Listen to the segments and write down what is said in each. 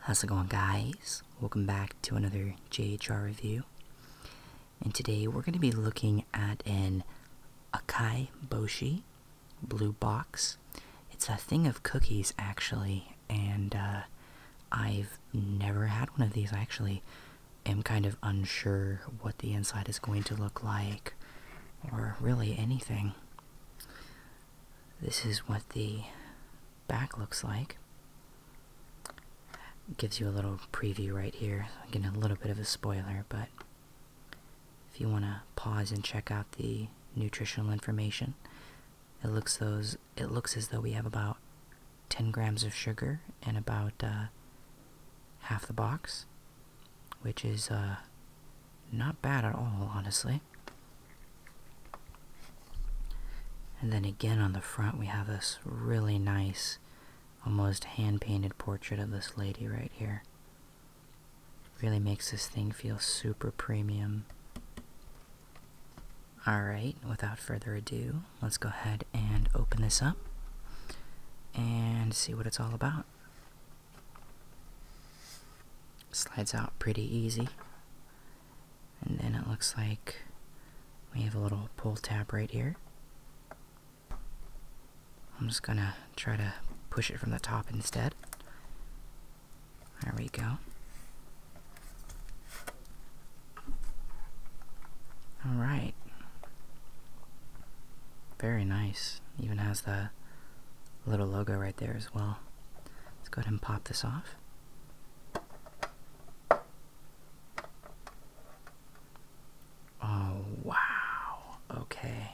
How's it going guys? Welcome back to another JHR review. And today we're going to be looking at an Akai Boshi blue box. It's a thing of cookies actually and uh, I've never had one of these. I actually am kind of unsure what the inside is going to look like or really anything. This is what the back looks like. gives you a little preview right here. getting a little bit of a spoiler, but if you want to pause and check out the nutritional information, it looks those it looks as though we have about 10 grams of sugar and about uh, half the box, which is uh, not bad at all, honestly. And then again on the front, we have this really nice, almost hand painted portrait of this lady right here. Really makes this thing feel super premium. Alright, without further ado, let's go ahead and open this up and see what it's all about. Slides out pretty easy. And then it looks like we have a little pull tab right here. I'm just gonna try to push it from the top instead. There we go. Alright. Very nice. Even has the little logo right there as well. Let's go ahead and pop this off. Oh, wow. Okay.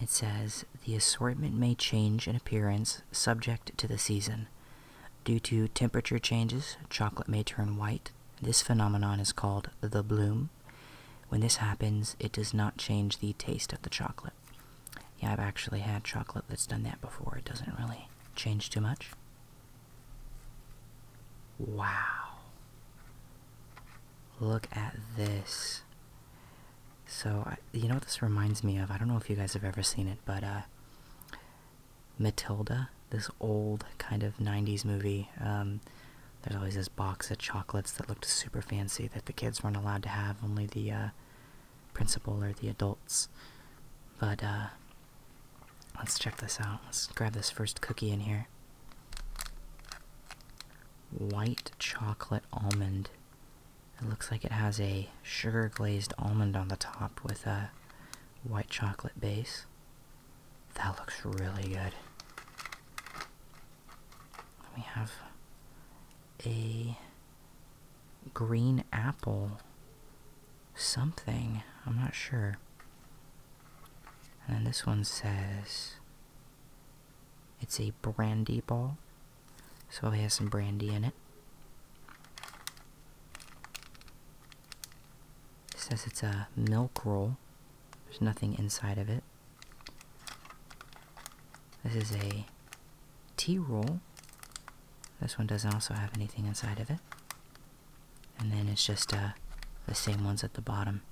It says the assortment may change in appearance subject to the season. Due to temperature changes, chocolate may turn white. This phenomenon is called the bloom. When this happens, it does not change the taste of the chocolate. Yeah, I've actually had chocolate that's done that before. It doesn't really change too much. Wow. Look at this. So, you know what this reminds me of? I don't know if you guys have ever seen it, but uh, Matilda, this old kind of 90s movie, um, there's always this box of chocolates that looked super fancy that the kids weren't allowed to have, only the uh, principal or the adults. But uh, let's check this out. Let's grab this first cookie in here. White chocolate almond. It looks like it has a sugar glazed almond on the top with a white chocolate base. That looks really good. We have a green apple something. I'm not sure. And this one says it's a brandy ball. So it has some brandy in it. It says it's a milk roll. There's nothing inside of it. This is a tea roll. This one doesn't also have anything inside of it. And then it's just uh, the same ones at the bottom.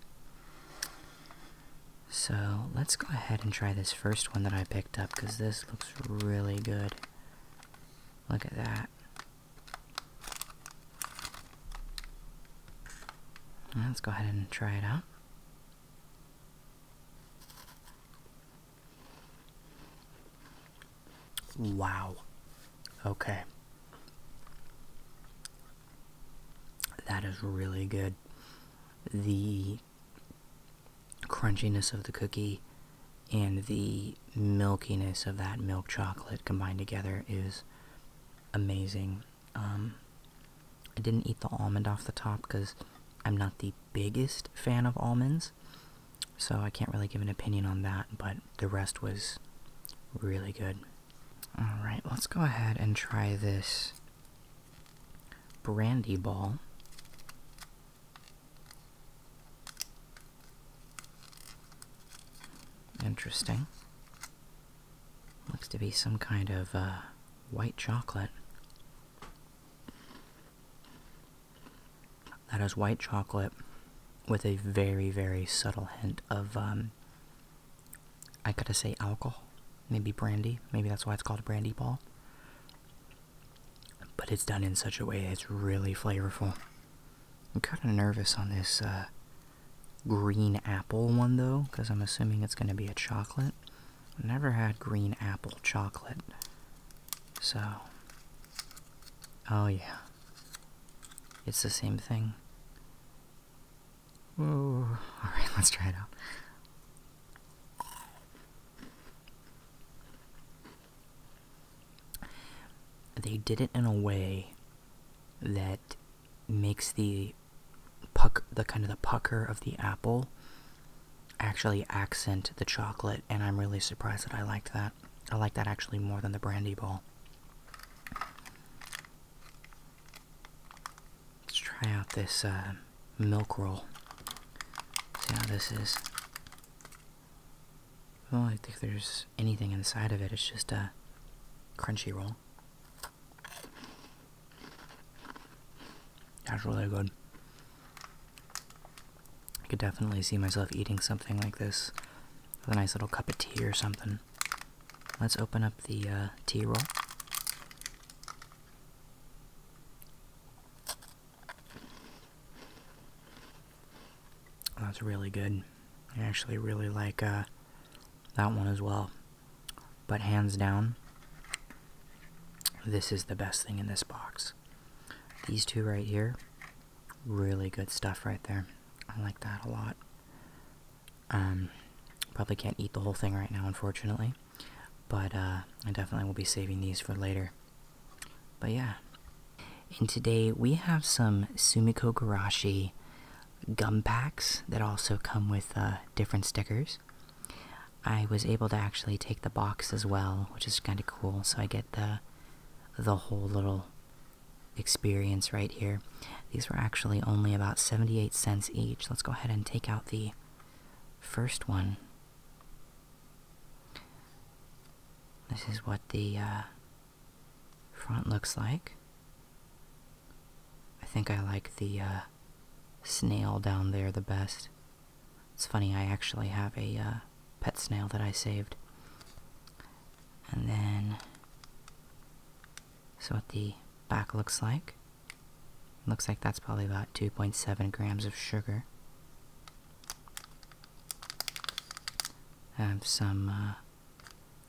So let's go ahead and try this first one that I picked up because this looks really good. Look at that. Let's go ahead and try it out. Wow. Okay. That is really good. The crunchiness of the cookie and the milkiness of that milk chocolate combined together is amazing. Um, I didn't eat the almond off the top because I'm not the biggest fan of almonds, so I can't really give an opinion on that, but the rest was really good. Alright, let's go ahead and try this brandy ball. Interesting. Looks to be some kind of uh, white chocolate. That is white chocolate with a very, very subtle hint of, um, I gotta say, alcohol. Maybe brandy. Maybe that's why it's called a brandy ball. But it's done in such a way it's really flavorful. I'm kind of nervous on this uh, green apple one though, because I'm assuming it's going to be a chocolate. never had green apple chocolate. So, oh yeah. It's the same thing. Oh, All right, let's try it out. They did it in a way that makes the puck the kind of the pucker of the apple actually accent the chocolate and i'm really surprised that i liked that i like that actually more than the brandy ball let's try out this uh, milk roll see how this is don't think there's anything inside of it it's just a crunchy roll that's really good. I could definitely see myself eating something like this with a nice little cup of tea or something. Let's open up the uh, tea roll. That's really good. I actually really like uh, that one as well. But hands down, this is the best thing in this box. These two right here, really good stuff right there. I like that a lot. Um, probably can't eat the whole thing right now, unfortunately. But uh, I definitely will be saving these for later. But yeah. And today we have some Sumiko Garashi gum packs that also come with uh, different stickers. I was able to actually take the box as well, which is kind of cool. So I get the the whole little experience right here. These were actually only about 78 cents each. Let's go ahead and take out the first one. This is what the uh, front looks like. I think I like the uh, snail down there the best. It's funny, I actually have a uh, pet snail that I saved. And then, so what the back looks like. Looks like that's probably about 2.7 grams of sugar. have some uh,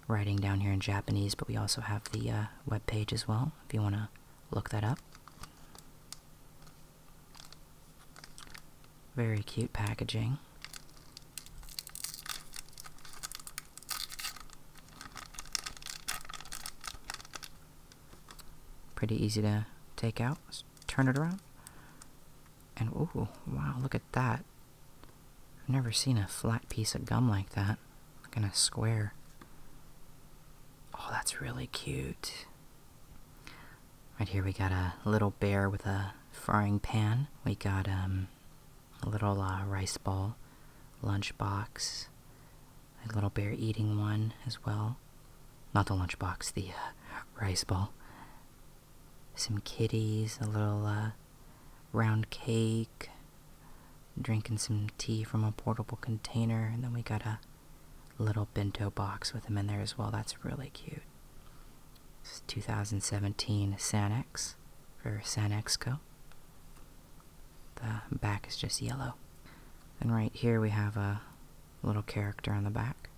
writing down here in Japanese, but we also have the uh, web page as well if you want to look that up. Very cute packaging. Pretty easy to take out. turn it around. And ooh, wow, look at that. I've never seen a flat piece of gum like that. Like in a square. Oh, that's really cute. Right here we got a little bear with a frying pan. We got um, a little uh, rice ball, lunchbox, a little bear eating one as well. Not the lunchbox, the uh, rice ball. Some kitties, a little uh, round cake, drinking some tea from a portable container, and then we got a little bento box with him in there as well. That's really cute. This is 2017 Sanex for Sanexco. The back is just yellow. And right here we have a little character on the back.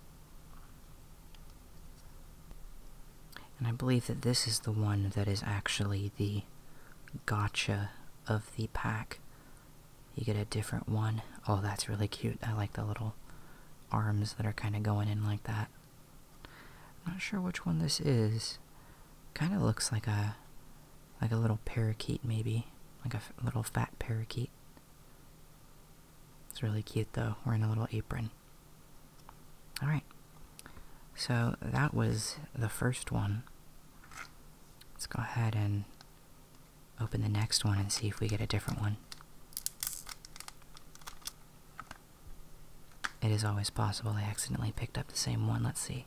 And I believe that this is the one that is actually the gotcha of the pack. You get a different one. Oh, that's really cute. I like the little arms that are kind of going in like that. I'm not sure which one this is. Kind of looks like a like a little parakeet maybe, like a little fat parakeet. It's really cute though. We're in a little apron. All right. So that was the first one. Let's go ahead and open the next one and see if we get a different one. It is always possible I accidentally picked up the same one. Let's see.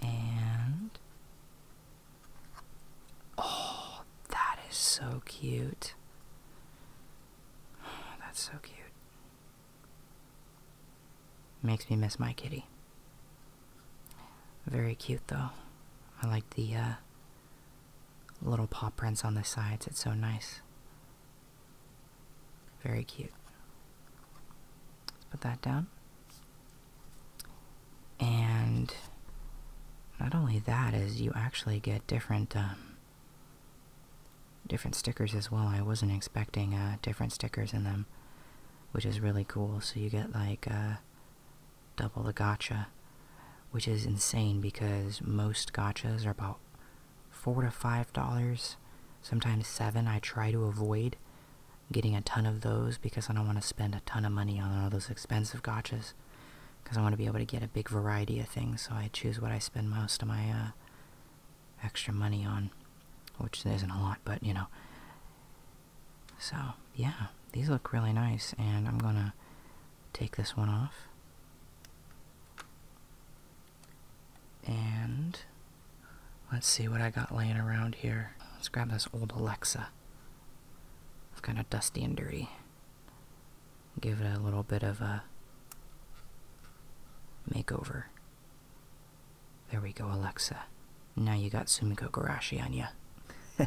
And. Oh, that is so cute. That's so cute. Makes me miss my kitty. Very cute though. I like the uh, little paw prints on the sides. It's so nice. Very cute. put that down. And not only that is you actually get different um, Different stickers as well. I wasn't expecting uh, different stickers in them, which is really cool. So you get like uh, double the gotcha, which is insane because most gotchas are about four to five dollars, sometimes seven. I try to avoid getting a ton of those because I don't want to spend a ton of money on all those expensive gotchas because I want to be able to get a big variety of things. So I choose what I spend most of my uh, extra money on, which is isn't a lot, but you know. So, yeah, these look really nice, and I'm gonna take this one off. And let's see what I got laying around here. Let's grab this old Alexa. It's kind of dusty and dirty give it a little bit of a makeover. There we go, Alexa. Now you got Sumiko Garashi on you.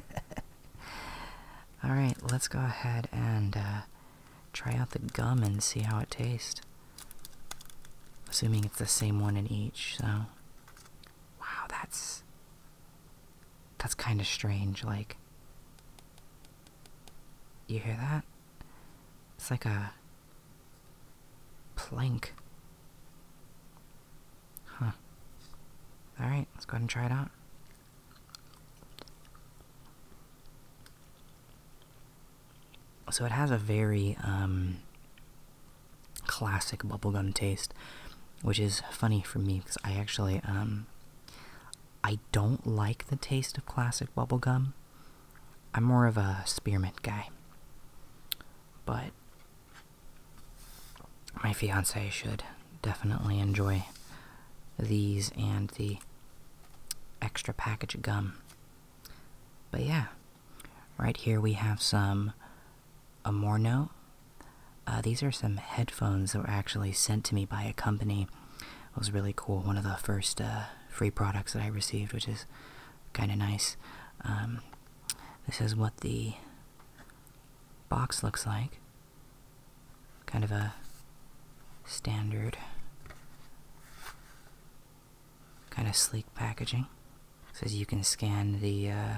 Alright, let's go ahead and uh, try out the gum and see how it tastes. Assuming it's the same one in each, so. Wow, that's. That's kind of strange. Like, you hear that? It's like a plank. Huh. Alright, let's go ahead and try it out. So it has a very um, classic bubblegum taste, which is funny for me because I actually um, I don't like the taste of classic bubblegum. I'm more of a spearmint guy. But my fiance should definitely enjoy these and the extra package of gum. But yeah, right here we have some Amorno. Uh, these are some headphones that were actually sent to me by a company it was really cool. One of the first uh, free products that I received, which is kind of nice. Um, this is what the box looks like. Kind of a standard, kind of sleek packaging. It says you can scan the uh,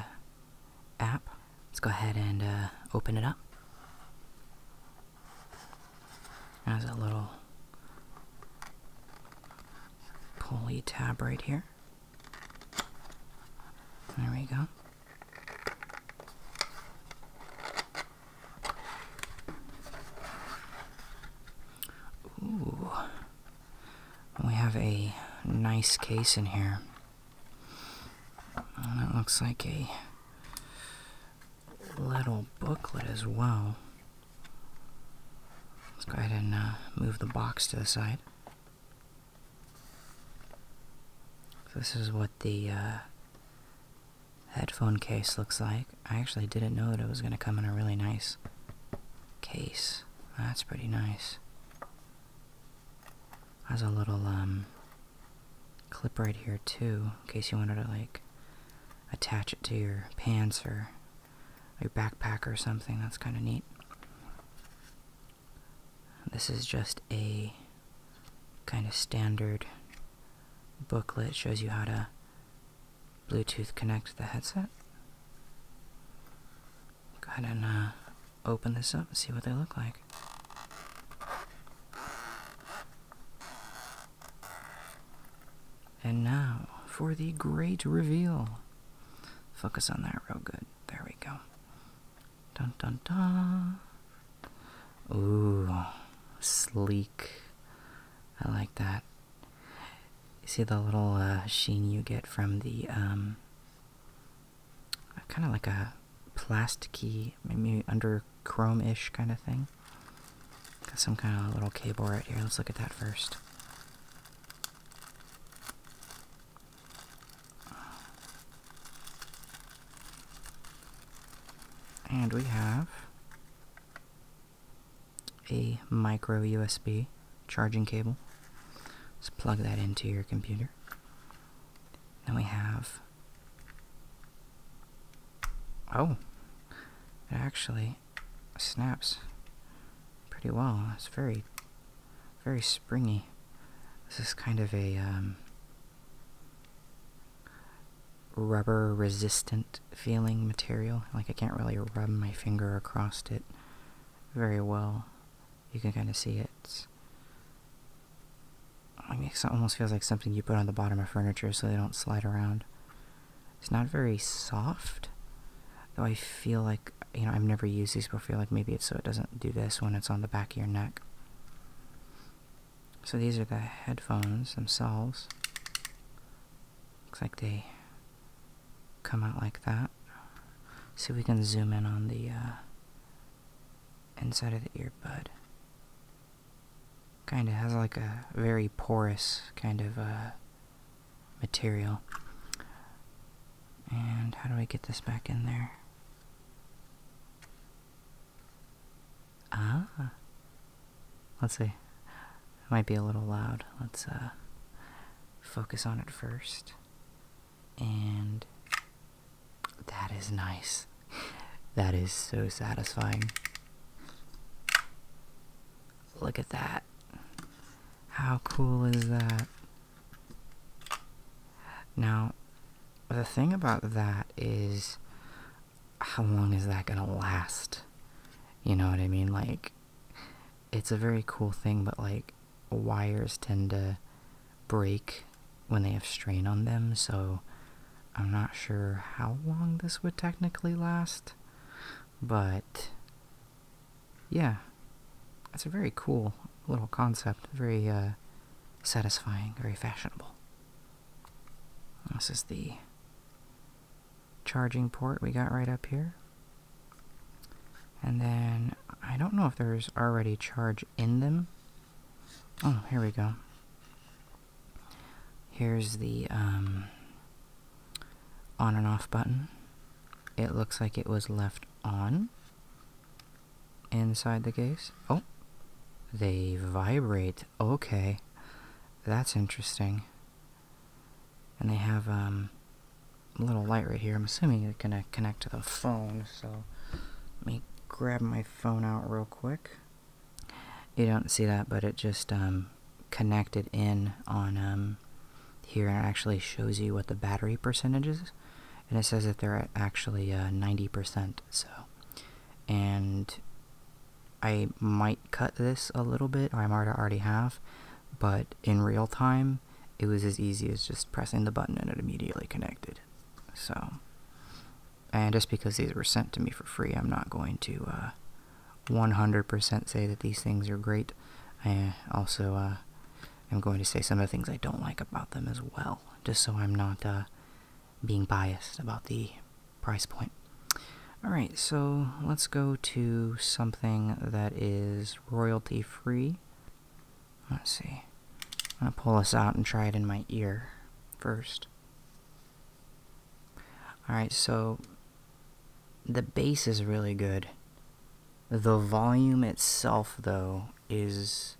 app. Let's go ahead and uh, open it up. Has a little pulley tab right here. There we go. Ooh. We have a nice case in here. That looks like a little booklet as well. Let's go ahead and uh, move the box to the side. this is what the uh, headphone case looks like. I actually didn't know that it was going to come in a really nice case. That's pretty nice. Has a little um, clip right here too, in case you wanted to like attach it to your pants or your backpack or something. That's kind of neat. This is just a kind of standard booklet. shows you how to Bluetooth connect the headset. Go ahead and uh, open this up and see what they look like. And now for the great reveal. Focus on that real good. There we go. Dun dun dun. Ooh, sleek. I like that. see the little uh, sheen you get from the um, kind of like a plasticky, maybe under chrome-ish kind of thing. Got some kind of little cable right here. Let's look at that first. And we have a micro USB charging cable. Let's plug that into your computer. Then we have. Oh! actually snaps pretty well. It's very, very springy. This is kind of a um, rubber resistant feeling material. Like I can't really rub my finger across it very well. You can kind of see it. it almost feels like something you put on the bottom of furniture so they don't slide around. It's not very soft, though I feel like, you know, I've never used these before. I feel like maybe it's so it doesn't do this when it's on the back of your neck. So these are the headphones themselves. Looks like they come out like that. let see we can zoom in on the uh, inside of the earbud kind of has like a very porous kind of uh, material. And how do we get this back in there? Ah. Let's see. might be a little loud. Let's uh, focus on it first. And that is nice. That is so satisfying. Look at that. How cool is that? Now, the thing about that is how long is that going to last? You know what I mean? Like, it's a very cool thing, but like, wires tend to break when they have strain on them, so I'm not sure how long this would technically last. But yeah, that's a very cool little concept. Very uh, satisfying, very fashionable. This is the charging port we got right up here. And then, I don't know if there's already charge in them. Oh, here we go. Here's the um, on and off button. It looks like it was left on inside the case. Oh, they vibrate. Okay, that's interesting. And they have um, a little light right here. I'm assuming it's going to connect to the phone, so let me grab my phone out real quick you don't see that, but it just um, connected in on um, here and it actually shows you what the battery percentage is. And it says that they're actually 90%. Uh, so, and I might cut this a little bit, or I am already half. but in real time, it was as easy as just pressing the button and it immediately connected. So, and just because these were sent to me for free, I'm not going to uh, 100% say that these things are great. I uh, also uh, am going to say some of the things I don't like about them as well, just so I'm not uh, being biased about the price point. Alright, so let's go to something that is royalty free. Let's see. i will pull this out and try it in my ear first. Alright, so the bass is really good. The volume itself, though, is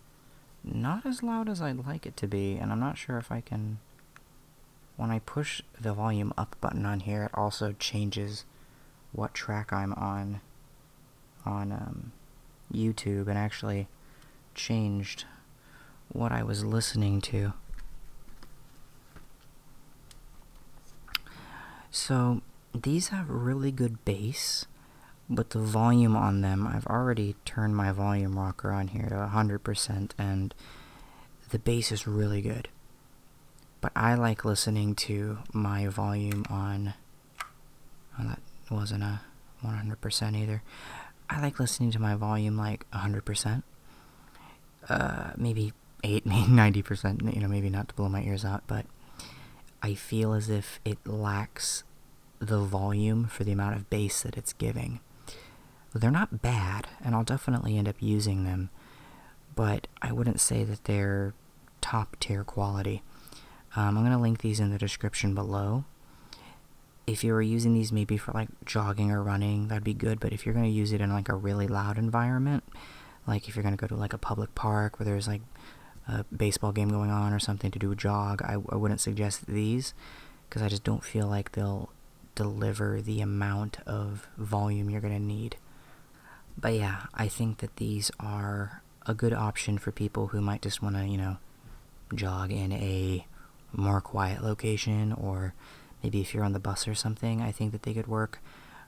not as loud as I'd like it to be, and I'm not sure if I can... When I push the volume up button on here, it also changes what track I'm on on um, YouTube and actually changed what I was listening to. So these have really good bass, but the volume on them, I've already turned my volume rocker on here to 100%, and the bass is really good. But I like listening to my volume on. that wasn't a 100% either. I like listening to my volume like 100%. Uh, maybe 98, 90%, you know, maybe not to blow my ears out, but I feel as if it lacks the volume for the amount of bass that it's giving. They're not bad, and I'll definitely end up using them, but I wouldn't say that they're top tier quality. Um, I'm going to link these in the description below. If you were using these maybe for like jogging or running, that'd be good. But if you're going to use it in like a really loud environment, like if you're going to go to like a public park where there's like a baseball game going on or something to do a jog, I, wouldn't suggest these because I just don't feel like they'll deliver the amount of volume you're going to need. But yeah, I think that these are a good option for people who might just want to, you know, jog in a more quiet location or maybe if you're on the bus or something, I think that they could work.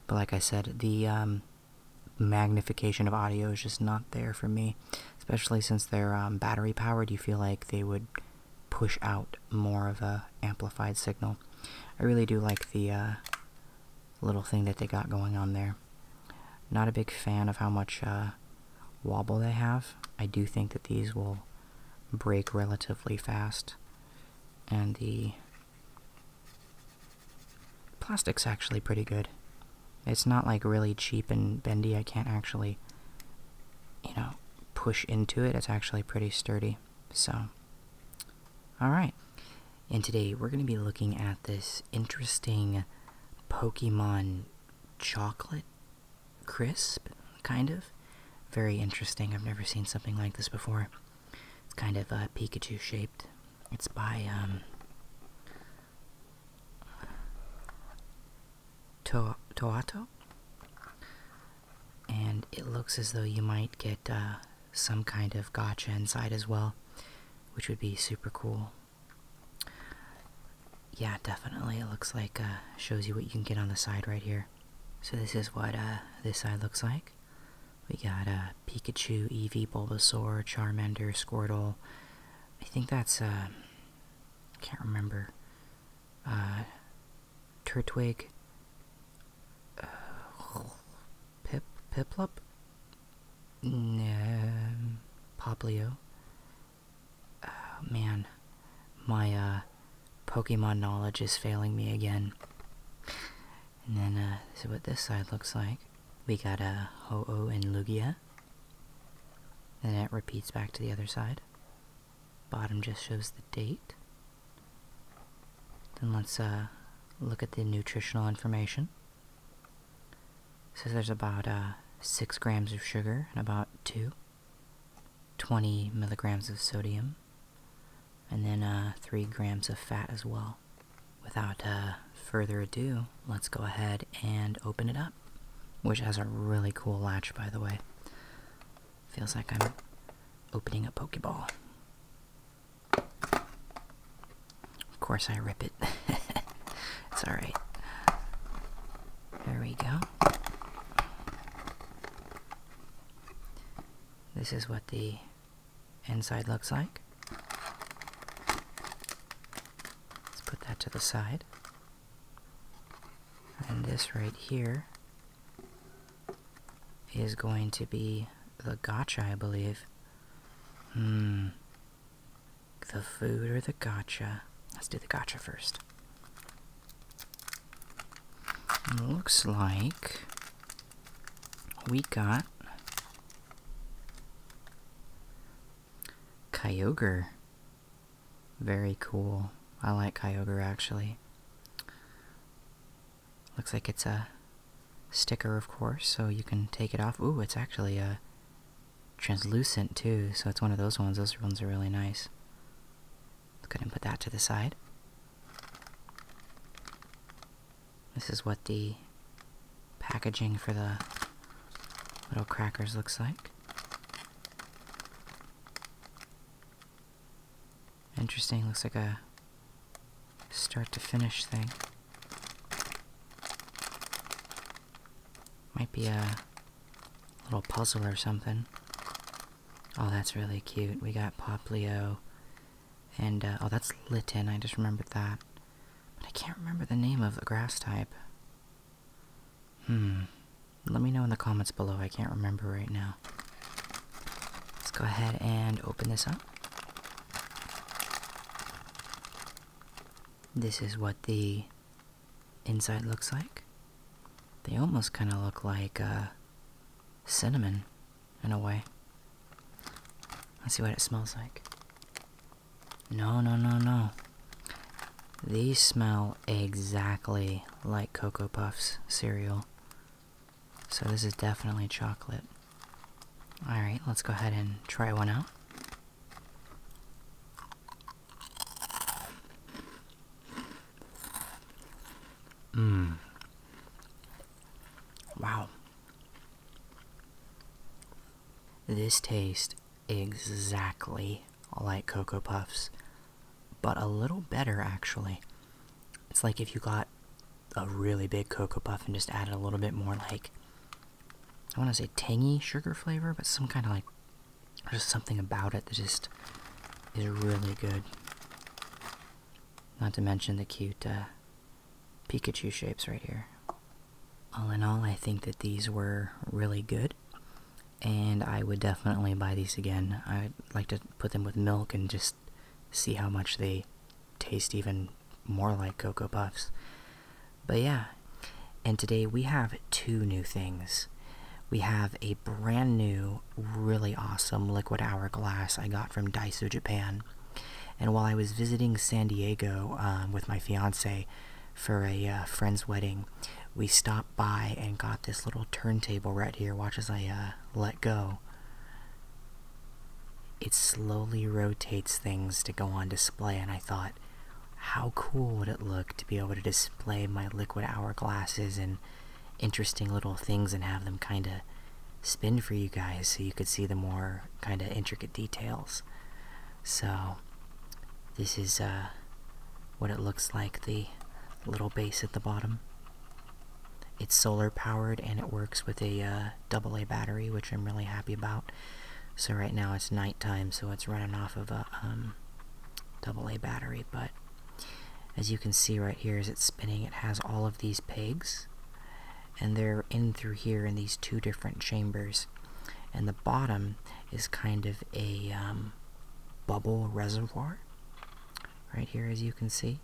But like I said, the um, magnification of audio is just not there for me, especially since they're um, battery powered. You feel like they would push out more of a amplified signal. I really do like the uh, little thing that they got going on there. Not a big fan of how much uh, wobble they have. I do think that these will break relatively fast and the plastic's actually pretty good. It's not like really cheap and bendy. I can't actually, you know, push into it. It's actually pretty sturdy. So, alright. And today we're going to be looking at this interesting Pokemon chocolate crisp, kind of very interesting. I've never seen something like this before. It's kind of a uh, Pikachu shaped. It's by um, Toato, and it looks as though you might get uh, some kind of gotcha inside as well, which would be super cool. Yeah, definitely. It looks like uh, shows you what you can get on the side right here. So this is what uh, this side looks like. We got uh, Pikachu, Eevee, Bulbasaur, Charmander, Squirtle. I think that's, uh, can't remember. Uh, Turtwig. Uh, Pip, Piplup? No, Poplio. Oh man, my uh, Pokemon knowledge is failing me again. And then, uh, what this side looks like. We got a uh, Ho-Oh and Lugia. And it repeats back to the other side. Bottom just shows the date. Then let's uh, look at the nutritional information. So there's about uh, 6 grams of sugar and about two twenty milligrams of sodium and then uh, three grams of fat as well. Without uh, further ado, let's go ahead and open it up, which has a really cool latch, by the way. Feels like I'm opening a Pokeball. Of course, I rip it. it's alright. There we go. This is what the inside looks like. Let's put that to the side. And this right here is going to be the gotcha, I believe. Hmm. The food or the gotcha? Let's do the gotcha first. Looks like we got Kyogre. Very cool. I like Kyogre actually. Looks like it's a sticker, of course, so you can take it off. Ooh, it's actually a translucent too, so it's one of those ones. Those ones are really nice. Let's go ahead and put that to the side. This is what the packaging for the little crackers looks like. Interesting, looks like a start to finish thing. Might be a little puzzle or something. Oh, that's really cute. We got Poplio. And, uh, oh, that's Litten. I just remembered that. But I can't remember the name of the grass type. Hmm. Let me know in the comments below. I can't remember right now. Let's go ahead and open this up. This is what the inside looks like. They almost kind of look like, uh, cinnamon in a way. Let's see what it smells like. No, no, no, no. These smell exactly like Cocoa Puffs cereal. So this is definitely chocolate. Alright, let's go ahead and try one out. Mmm. Wow. This tastes exactly like Cocoa Puffs, but a little better actually. It's like if you got a really big Cocoa Puff and just added a little bit more like, I want to say tangy sugar flavor, but some kind of like, just something about it that just is really good. Not to mention the cute uh, Pikachu shapes right here. All in all, I think that these were really good, and I would definitely buy these again. I'd like to put them with milk and just see how much they taste even more like Cocoa Puffs. But yeah, and today we have two new things. We have a brand new really awesome liquid hourglass I got from Daiso Japan. And while I was visiting San Diego um, with my fiance for a uh, friend's wedding, we stopped by and got this little turntable right here. Watch as I uh, let go. It slowly rotates things to go on display, and I thought, how cool would it look to be able to display my liquid hourglasses and interesting little things and have them kind of spin for you guys so you could see the more kind of intricate details. So, this is uh, what it looks like the little base at the bottom. It's solar powered and it works with a uh, double A battery, which I'm really happy about. So right now it's night time, so it's running off of a um, double A battery, but as you can see right here as it's spinning, it has all of these pegs, and they're in through here in these two different chambers. And the bottom is kind of a um, bubble reservoir, right here as you can see.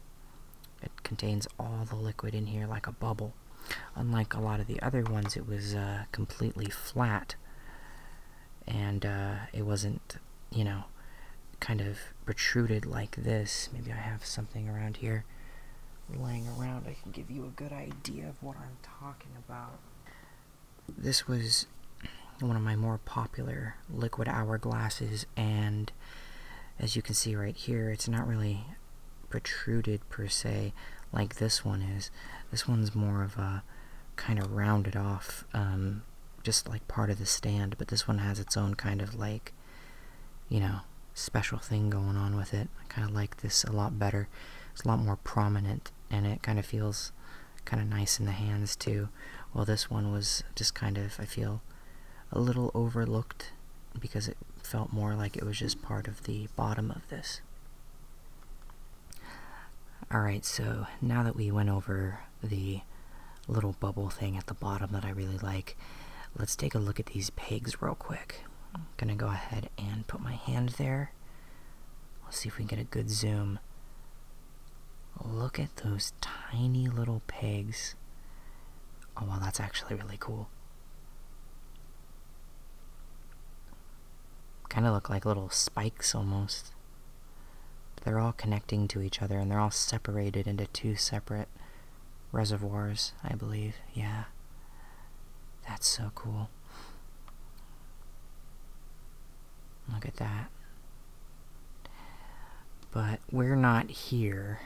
It contains all the liquid in here like a bubble. Unlike a lot of the other ones, it was uh, completely flat and uh, it wasn't you know, kind of protruded like this. Maybe I have something around here laying around. I can give you a good idea of what I'm talking about. This was one of my more popular liquid hour glasses, and as you can see right here, it's not really protruded per se like this one is. This one's more of a kind of rounded off um, just like part of the stand, but this one has its own kind of like, you know, special thing going on with it. I kind of like this a lot better. It's a lot more prominent, and it kind of feels kind of nice in the hands too. While this one was just kind of, I feel, a little overlooked because it felt more like it was just part of the bottom of this. Alright, so now that we went over the little bubble thing at the bottom that I really like. Let's take a look at these pegs real quick. I'm gonna go ahead and put my hand there. Let's see if we can get a good zoom. Look at those tiny little pegs. Oh wow, that's actually really cool. Kind of look like little spikes almost they're all connecting to each other and they're all separated into two separate reservoirs, I believe. Yeah. That's so cool. Look at that. But we're not here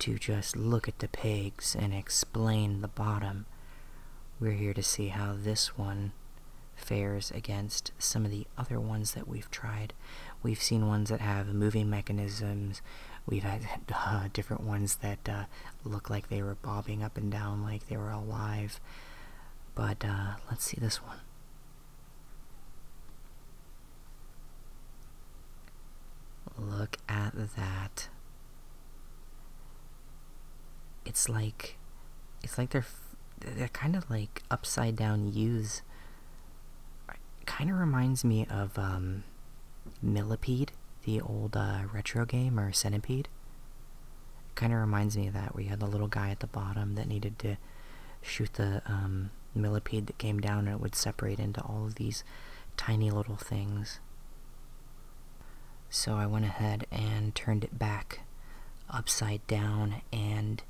to just look at the pegs and explain the bottom. We're here to see how this one fares against some of the other ones that we've tried. We've seen ones that have moving mechanisms. We've had uh, different ones that uh, look like they were bobbing up and down like they were alive. But uh, let's see this one. Look at that. It's like, it's like they're, they're kind of like upside down U's kind of reminds me of um, Millipede, the old uh, retro game, or Centipede. Kind of reminds me of that, where you had the little guy at the bottom that needed to shoot the um, millipede that came down and it would separate into all of these tiny little things. So I went ahead and turned it back upside down and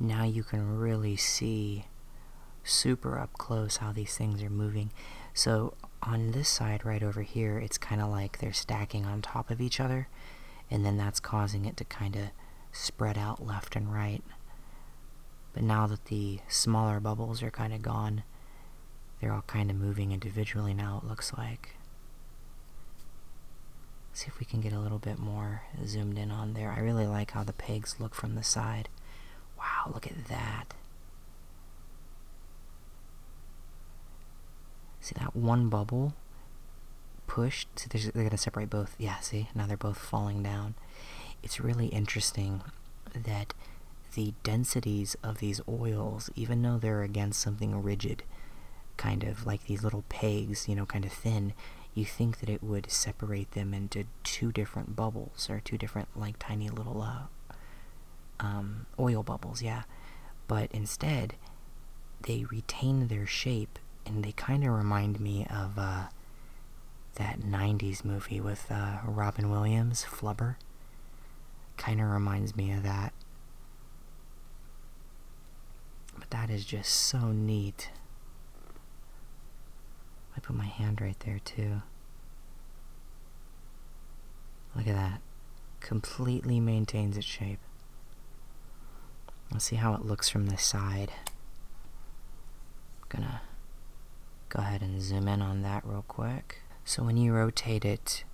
now you can really see super up close how these things are moving. So on this side right over here, it's kind of like they're stacking on top of each other, and then that's causing it to kind of spread out left and right. But now that the smaller bubbles are kind of gone, they're all kind of moving individually now, it looks like see if we can get a little bit more zoomed in on there. I really like how the pegs look from the side. Wow, look at that. See that one bubble pushed? See, they're, they're going to separate both. Yeah, see? Now they're both falling down. It's really interesting that the densities of these oils, even though they're against something rigid, kind of like these little pegs, you know, kind of thin, you think that it would separate them into two different bubbles or two different like tiny little uh, um, oil bubbles, yeah. But instead, they retain their shape, and they kind of remind me of uh, that '90s movie with uh, Robin Williams, Flubber. Kind of reminds me of that. But that is just so neat. I put my hand right there too. Look at that. Completely maintains its shape. Let's see how it looks from this side. I'm gonna go ahead and zoom in on that real quick. So when you rotate it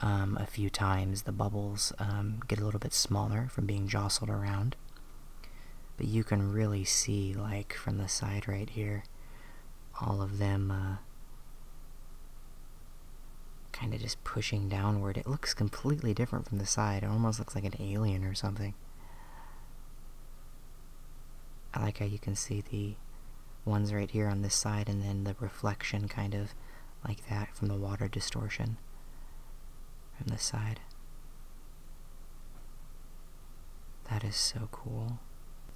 um, a few times, the bubbles um, get a little bit smaller from being jostled around. But you can really see, like, from the side right here, all of them uh, kind of just pushing downward. It looks completely different from the side. It almost looks like an alien or something. I like how you can see the ones right here on this side and then the reflection kind of like that from the water distortion from this side. That is so cool.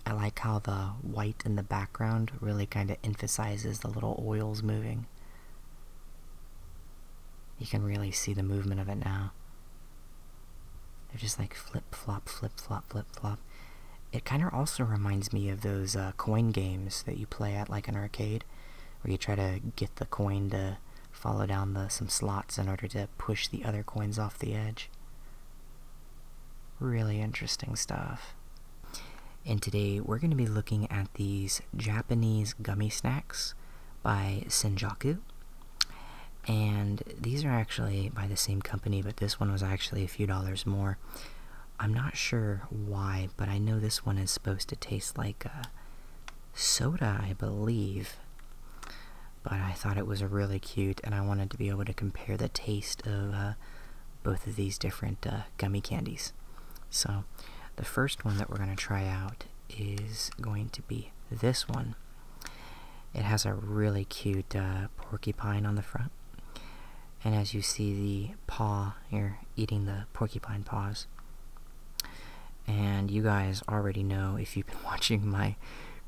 I like how the white in the background really kind of emphasizes the little oils moving. You can really see the movement of it now. They're just like flip, flop, flip, flop, flip, flop. It kind of also reminds me of those uh, coin games that you play at like an arcade, where you try to get the coin to follow down the some slots in order to push the other coins off the edge. Really interesting stuff. And today we're going to be looking at these Japanese gummy snacks by Senjaku. And these are actually by the same company, but this one was actually a few dollars more. I'm not sure why, but I know this one is supposed to taste like soda, I believe. But I thought it was really cute, and I wanted to be able to compare the taste of uh, both of these different uh, gummy candies. So, the first one that we're going to try out is going to be this one. It has a really cute uh, porcupine on the front. And as you see the paw, you're eating the porcupine paws. And you guys already know if you've been watching my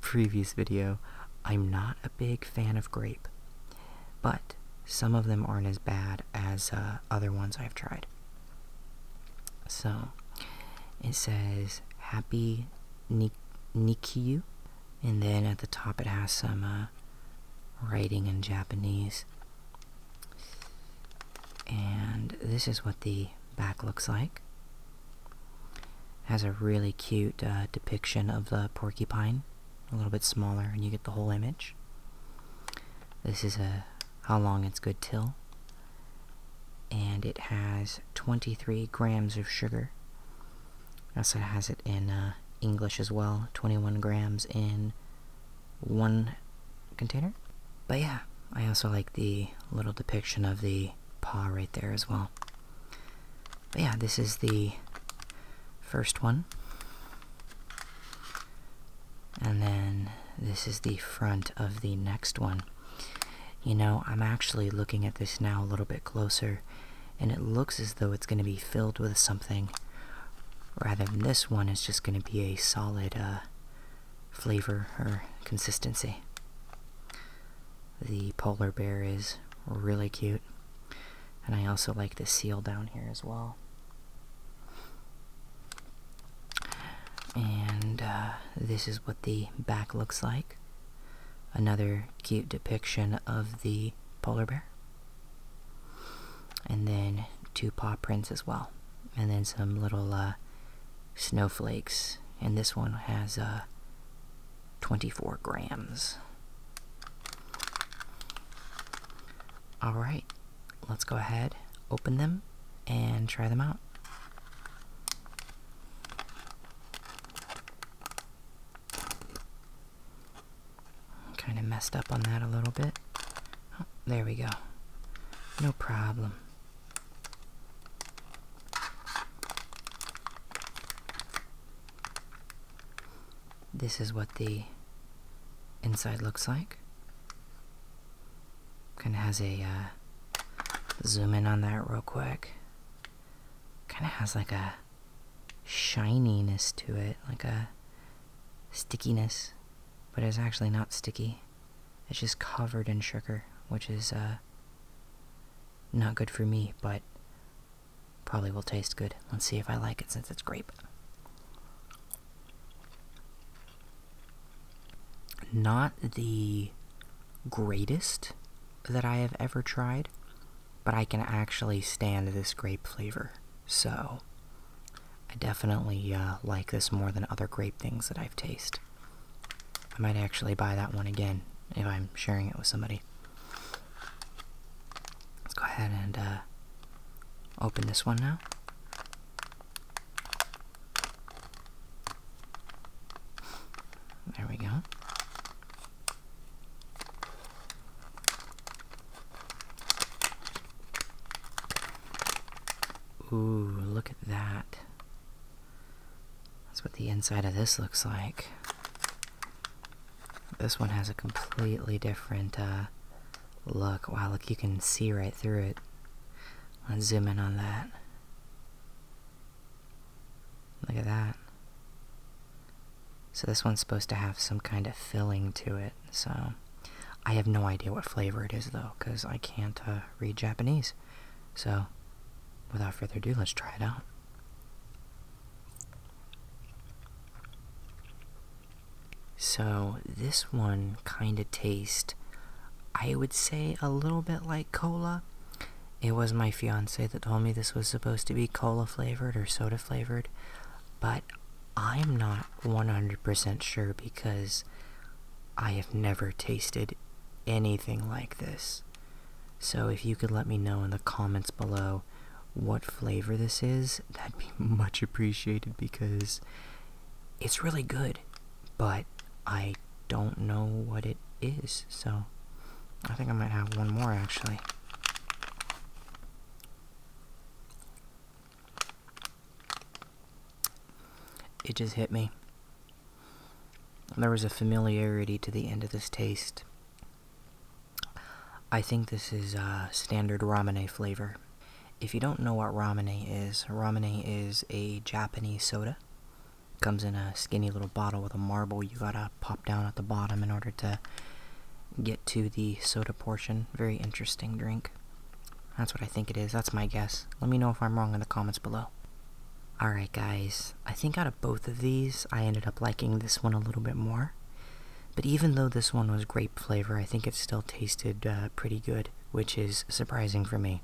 previous video, I'm not a big fan of grape, but some of them aren't as bad as uh, other ones I've tried. So it says Happy Nik and then at the top it has some uh, writing in Japanese. And this is what the back looks like. Has a really cute uh, depiction of the porcupine, a little bit smaller, and you get the whole image. This is a how long it's good till, and it has 23 grams of sugar. Also has it in uh, English as well, 21 grams in one container. But yeah, I also like the little depiction of the paw right there as well. But yeah, this is the first one. And then this is the front of the next one. You know, I'm actually looking at this now a little bit closer, and it looks as though it's going to be filled with something. Rather than this one is just going to be a solid uh, flavor or consistency. The polar bear is really cute. And I also like the seal down here as well. And uh, this is what the back looks like. Another cute depiction of the polar bear. And then two paw prints as well and then some little uh, snowflakes. And this one has uh, 24 grams. Alright, let's go ahead, open them, and try them out. Kind of messed up on that a little bit. Oh, there we go. No problem. This is what the inside looks like. Kind of has a, uh, zoom in on that real quick. Kind of has like a shininess to it, like a stickiness, but it's actually not sticky. It's just covered in sugar, which is uh, not good for me, but probably will taste good. Let's see if I like it since it's grape. Not the greatest that I have ever tried, but I can actually stand this grape flavor. So, I definitely uh, like this more than other grape things that I've tasted. I might actually buy that one again if I'm sharing it with somebody. Let's go ahead and uh, open this one now. There we go. Ooh, look at that. That's what the inside of this looks like. This one has a completely different uh, look. Wow, look, you can see right through it. Let's zoom in on that. Look at that. So this one's supposed to have some kind of filling to it, so... I have no idea what flavor it is, though, because I can't uh, read Japanese. So, without further ado, let's try it out. So, this one kind of tastes, I would say, a little bit like cola. It was my fiance that told me this was supposed to be cola flavored or soda flavored, but I'm not 100% sure because I have never tasted anything like this. So if you could let me know in the comments below what flavor this is, that'd be much appreciated because it's really good, but I don't know what it is. So I think I might have one more actually. It just hit me. There was a familiarity to the end of this taste. I think this is uh, standard ramune flavor. If you don't know what ramune is, ramune is a Japanese soda. Comes in a skinny little bottle with a marble you gotta pop down at the bottom in order to get to the soda portion. Very interesting drink. That's what I think it is. That's my guess. Let me know if I'm wrong in the comments below. Alright, guys, I think out of both of these, I ended up liking this one a little bit more. But even though this one was grape flavor, I think it still tasted uh, pretty good, which is surprising for me.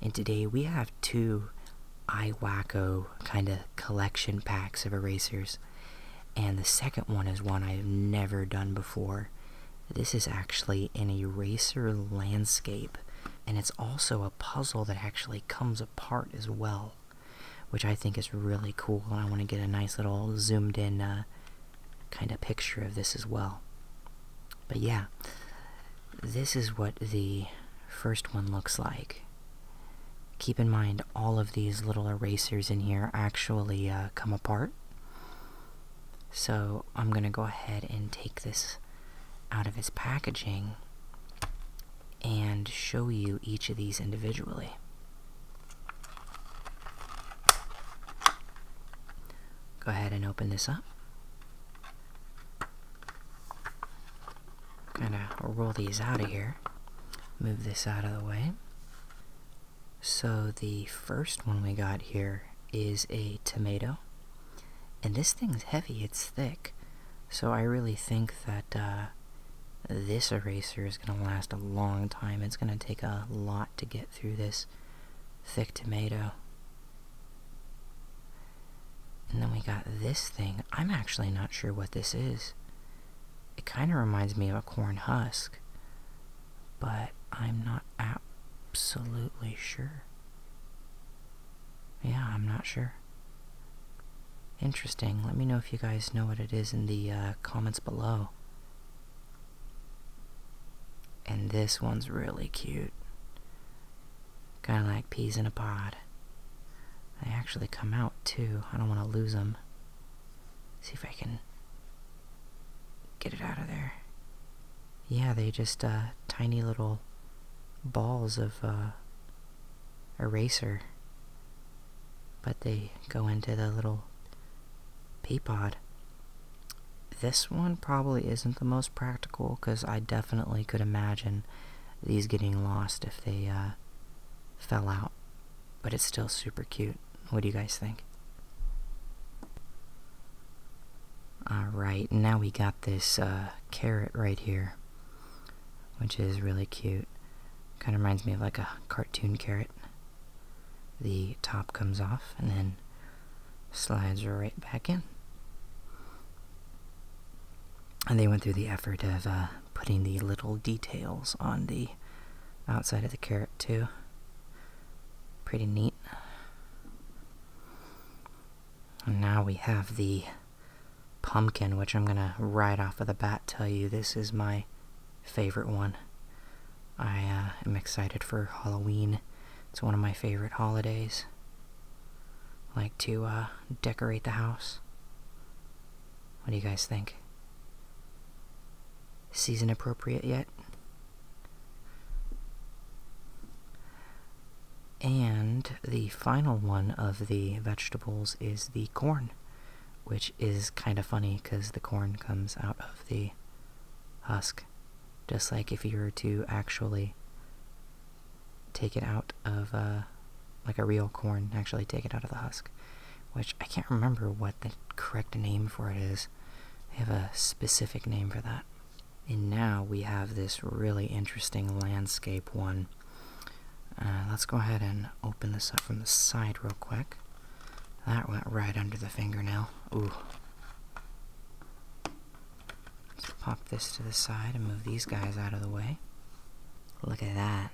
And today we have two iWacko kind of collection packs of erasers. And the second one is one I've never done before. This is actually an eraser landscape and it's also a puzzle that actually comes apart as well, which I think is really cool. And I want to get a nice little zoomed in uh, kind of picture of this as well. But yeah, this is what the first one looks like. Keep in mind, all of these little erasers in here actually uh, come apart. So I'm going to go ahead and take this out of his packaging and show you each of these individually. Go ahead and open this up. Kind of roll these out of here. Move this out of the way. So the first one we got here is a tomato. And this thing's heavy, it's thick. So I really think that uh, this eraser is going to last a long time. It's going to take a lot to get through this thick tomato. And then we got this thing. I'm actually not sure what this is. It kind of reminds me of a corn husk, but I'm not absolutely sure. Yeah, I'm not sure. Interesting. Let me know if you guys know what it is in the uh, comments below. And this one's really cute. Kind of like peas in a pod. They actually come out too. I don't want to lose them. See if I can get it out of there yeah, they just, uh, tiny little balls of, uh, eraser. But they go into the little pea pod. This one probably isn't the most practical, because I definitely could imagine these getting lost if they, uh, fell out. But it's still super cute. What do you guys think? Alright, now we got this uh, carrot right here, which is really cute. Kind of reminds me of like a cartoon carrot. The top comes off and then slides right back in. And they went through the effort of uh, putting the little details on the outside of the carrot too. Pretty neat now we have the pumpkin, which I'm gonna right off of the bat tell you this is my favorite one. I uh, am excited for Halloween. It's one of my favorite holidays. like to uh, decorate the house. What do you guys think? Season appropriate yet? And the final one of the vegetables is the corn, which is kind of funny because the corn comes out of the husk. Just like if you were to actually take it out of, uh, like a real corn, actually take it out of the husk, which I can't remember what the correct name for it is. They have a specific name for that. And now we have this really interesting landscape one. Uh, let's go ahead and open this up from the side real quick. That went right under the fingernail. Ooh. Let's pop this to the side and move these guys out of the way. Look at that.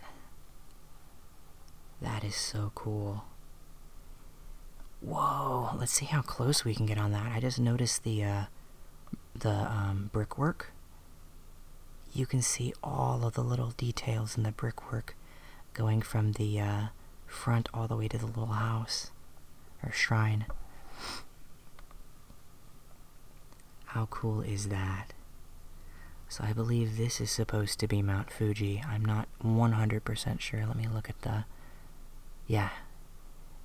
That is so cool. Whoa, let's see how close we can get on that. I just noticed the uh, the um, brickwork, you can see all of the little details in the brickwork going from the uh, front all the way to the little house or shrine. How cool is that? So I believe this is supposed to be Mount Fuji. I'm not 100% sure. Let me look at the yeah,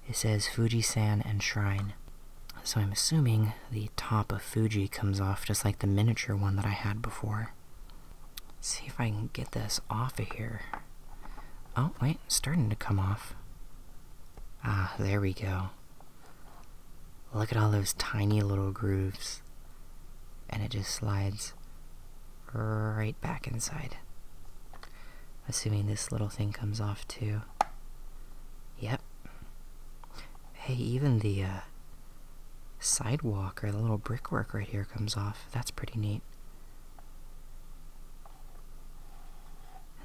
it says Fuji-san and shrine. So I'm assuming the top of Fuji comes off just like the miniature one that I had before. see if I can get this off of here. Oh, wait, starting to come off. Ah, there we go. Look at all those tiny little grooves. And it just slides right back inside. Assuming this little thing comes off too. Yep. Hey, even the uh, sidewalk or the little brickwork right here comes off. That's pretty neat.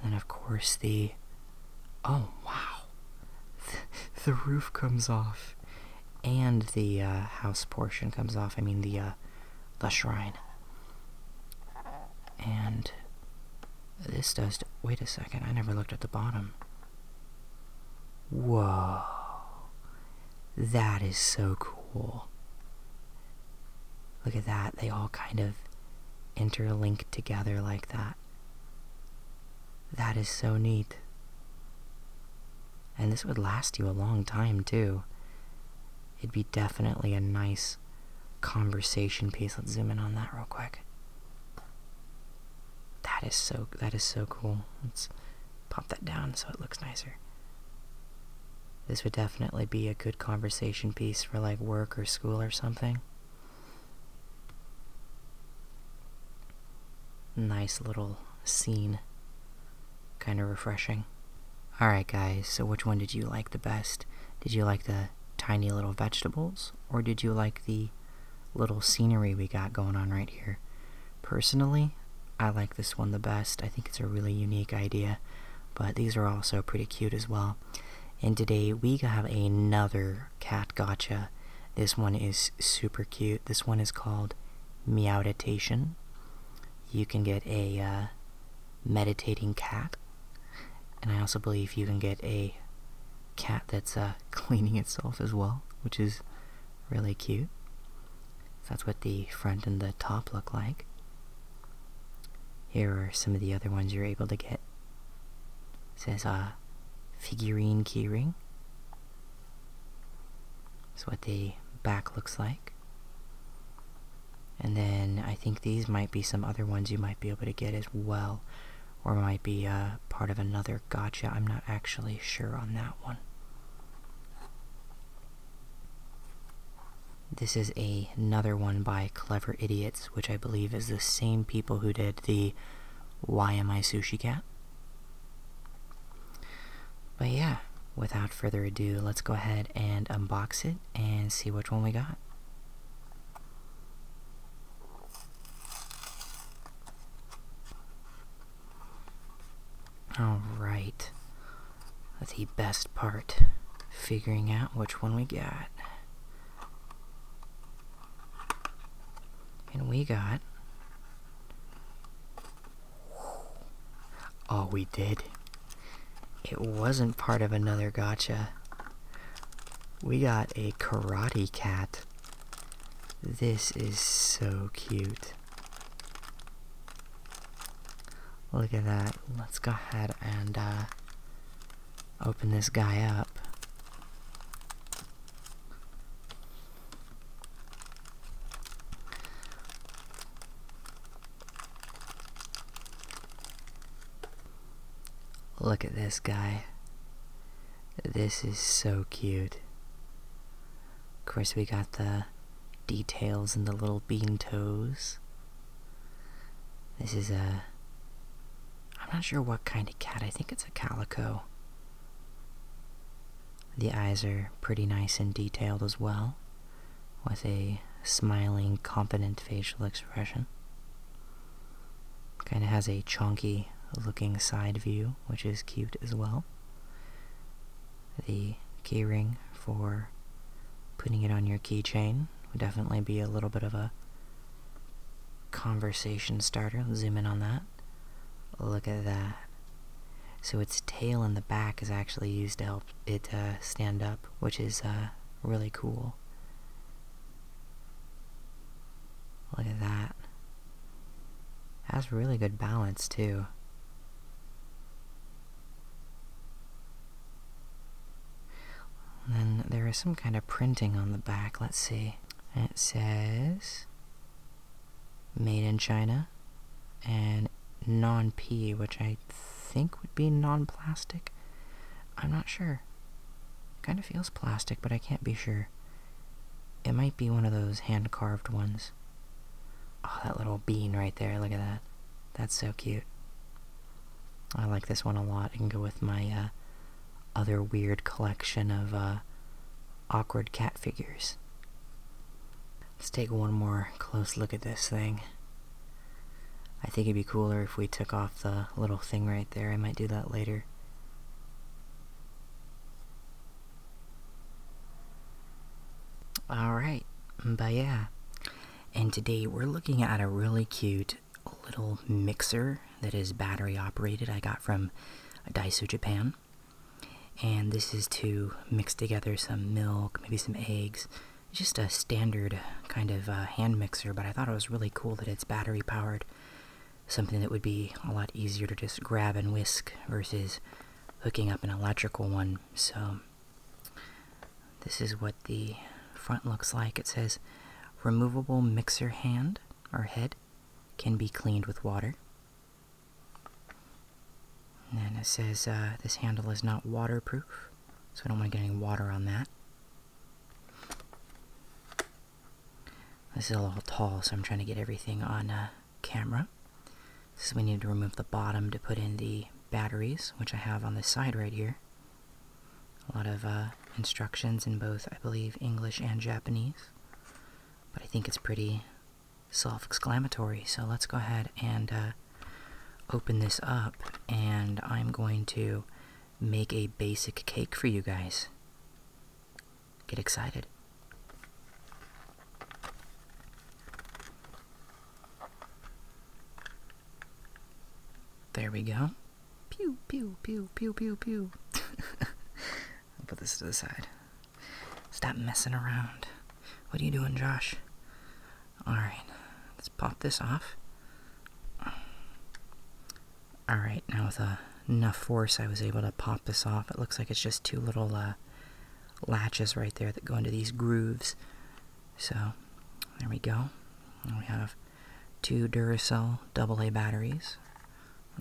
And then, of course, the. Oh, wow! The, roof comes off. And the uh, house portion comes off. I mean, the, uh, the shrine. And this does. Wait a second, I never looked at the bottom. Whoa. That is so cool. Look at that, they all kind of interlink together like that. That is so neat. And this would last you a long time too. It'd be definitely a nice conversation piece. Let's zoom in on that real quick. That is so that is so cool. Let's pop that down so it looks nicer. This would definitely be a good conversation piece for like work or school or something. Nice little scene. Kind of refreshing. Alright guys, so which one did you like the best? Did you like the tiny little vegetables, or did you like the little scenery we got going on right here? Personally, I like this one the best. I think it's a really unique idea, but these are also pretty cute as well. And today we have another cat gotcha. This one is super cute. This one is called Meowditation. You can get a uh, meditating cat and I also believe you can get a cat that's uh, cleaning itself as well, which is really cute. that's what the front and the top look like. Here are some of the other ones you're able to get. It says a uh, figurine keyring. That's what the back looks like. And then I think these might be some other ones you might be able to get as well, or might be uh, part of another gotcha. I'm not actually sure on that one. This is another one by Clever Idiots, which I believe is the same people who did the Why Am I Sushi Cat? But yeah, without further ado, let's go ahead and unbox it and see which one we got. Alright. The best part. Figuring out which one we got. And we got... Oh, we did. It wasn't part of another gotcha. We got a karate cat. This is so cute. Look at that. Let's go ahead and uh, open this guy up. Look at this guy. This is so cute. Of course, we got the details and the little bean toes. This is a... I'm not sure what kind of cat. I think it's a calico. The eyes are pretty nice and detailed as well, with a smiling, confident facial expression. Kind of has a chunky looking side view, which is cute as well. The keyring for putting it on your keychain would definitely be a little bit of a conversation starter. zoom in on that. Look at that. So its tail in the back is actually used to help it uh, stand up, which is uh, really cool. Look at that. Has really good balance too. then there is some kind of printing on the back, let's see. it says, made in China, and non-P, which I think would be non-plastic. I'm not sure. Kind of feels plastic, but I can't be sure. It might be one of those hand-carved ones. Oh, that little bean right there, look at that. That's so cute. I like this one a lot. and go with my uh, other weird collection of uh, awkward cat figures. Let's take one more close look at this thing. I think it'd be cooler if we took off the little thing right there. I might do that later. Alright, but yeah. And today we're looking at a really cute little mixer that is battery operated I got from Daiso Japan. And this is to mix together some milk, maybe some eggs, just a standard kind of uh, hand mixer, but I thought it was really cool that it's battery powered. Something that would be a lot easier to just grab and whisk versus hooking up an electrical one. So, this is what the front looks like. It says removable mixer hand or head can be cleaned with water. And then it says uh, this handle is not waterproof, so I don't want to get any water on that. This is a little tall, so I'm trying to get everything on uh, camera. So we need to remove the bottom to put in the batteries, which I have on the side right here. A lot of uh, instructions in both, I believe, English and Japanese. But I think it's pretty self-exclamatory, so let's go ahead and uh, open this up, and I'm going to make a basic cake for you guys. Get excited. There we go. Pew, pew, pew, pew, pew, pew. I'll put this to the side. Stop messing around. What are you doing, Josh? Alright, let's pop this off. Alright, now with enough force I was able to pop this off. It looks like it's just two little uh, latches right there that go into these grooves. So, there we go. we have two Duracell AA batteries.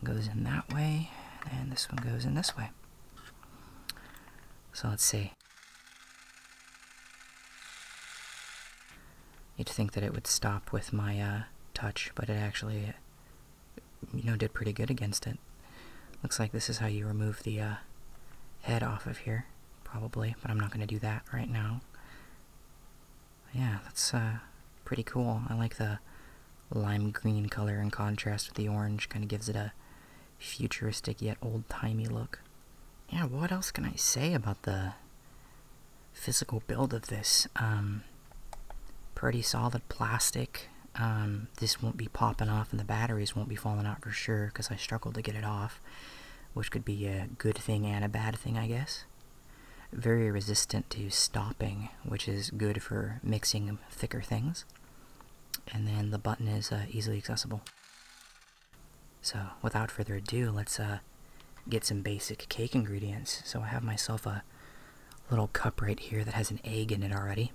goes in that way, and this one goes in this way. So let's see. You'd think that it would stop with my uh, touch, but it actually, you know, did pretty good against it. Looks like this is how you remove the uh, head off of here, probably, but I'm not going to do that right now. Yeah, that's uh, pretty cool. I like the lime green color in contrast with the orange, kind of gives it a futuristic yet old-timey look yeah, what else can I say about the physical build of this? Um, pretty solid plastic. Um, this won't be popping off and the batteries won't be falling out for sure because I struggled to get it off, which could be a good thing and a bad thing, I guess. Very resistant to stopping, which is good for mixing thicker things. And then the button is uh, easily accessible. So, without further ado, let's uh, get some basic cake ingredients. So, I have myself a little cup right here that has an egg in it already.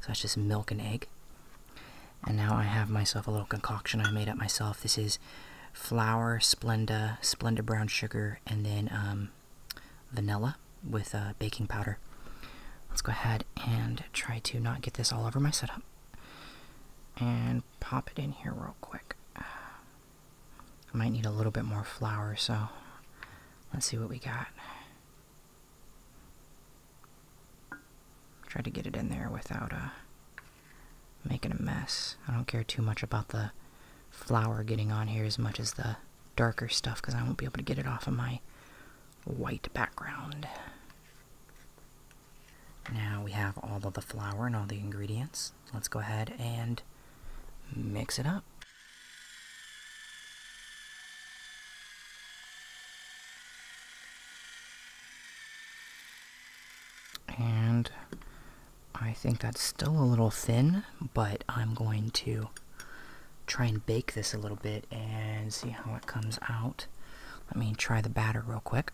So, that's just milk and egg. And now I have myself a little concoction I made up myself. This is flour, Splenda, Splenda brown sugar, and then um, vanilla with uh, baking powder. Let's go ahead and try to not get this all over my setup. And pop it in here real quick. Uh, I might need a little bit more flour, so let's see what we got. Try to get it in there without uh, making a mess. I don't care too much about the flour getting on here as much as the darker stuff because I won't be able to get it off of my white background. Now we have all of the flour and all the ingredients. Let's go ahead and mix it up. And I think that's still a little thin, but I'm going to try and bake this a little bit and see how it comes out. Let me try the batter real quick.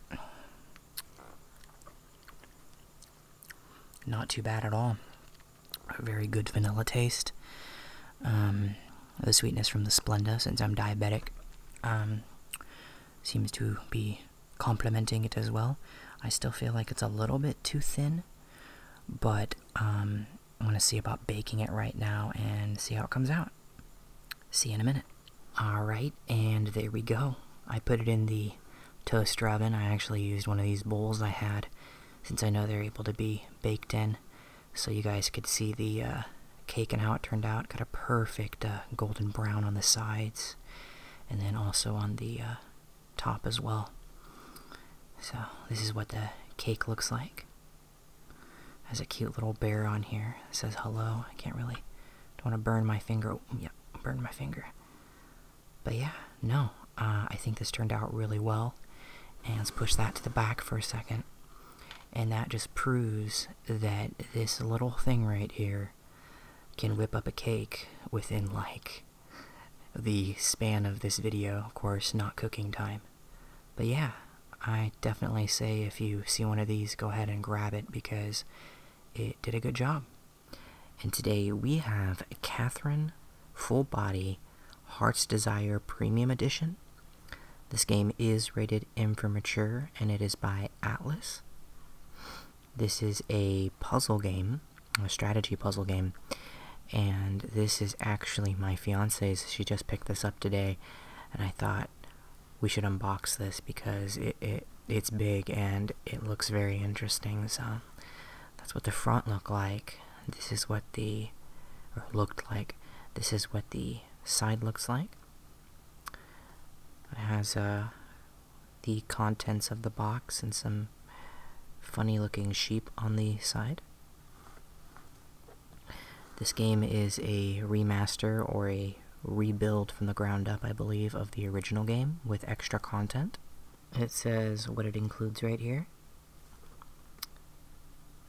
Not too bad at all. A very good vanilla taste. Um, the sweetness from the Splenda, since I'm diabetic, um, seems to be complementing it as well. I still feel like it's a little bit too thin, but I'm going to see about baking it right now and see how it comes out. See you in a minute. Alright, and there we go. I put it in the toaster oven. I actually used one of these bowls I had since I know they're able to be baked in. So you guys could see the uh, cake and how it turned out. Got a perfect uh, golden brown on the sides and then also on the uh, top as well. So this is what the cake looks like. Has a cute little bear on here. says hello. I can't really don't want to burn my finger. Yeah, burn my finger. But yeah, no. Uh, I think this turned out really well. And let's push that to the back for a second. And that just proves that this little thing right here can whip up a cake within like the span of this video, of course, not cooking time. But yeah, I definitely say if you see one of these, go ahead and grab it because it did a good job. And today we have Catherine Full Body Heart's Desire Premium Edition. This game is rated M for Mature and it is by Atlas. This is a puzzle game, a strategy puzzle game, and this is actually my fiance's. She just picked this up today, and I thought, we should unbox this because it, it it's big and it looks very interesting. So that's what the front looked like. This is what the looked like. This is what the side looks like. It has uh, the contents of the box and some funny looking sheep on the side. This game is a remaster or a rebuild from the ground up, I believe, of the original game with extra content. It says what it includes right here.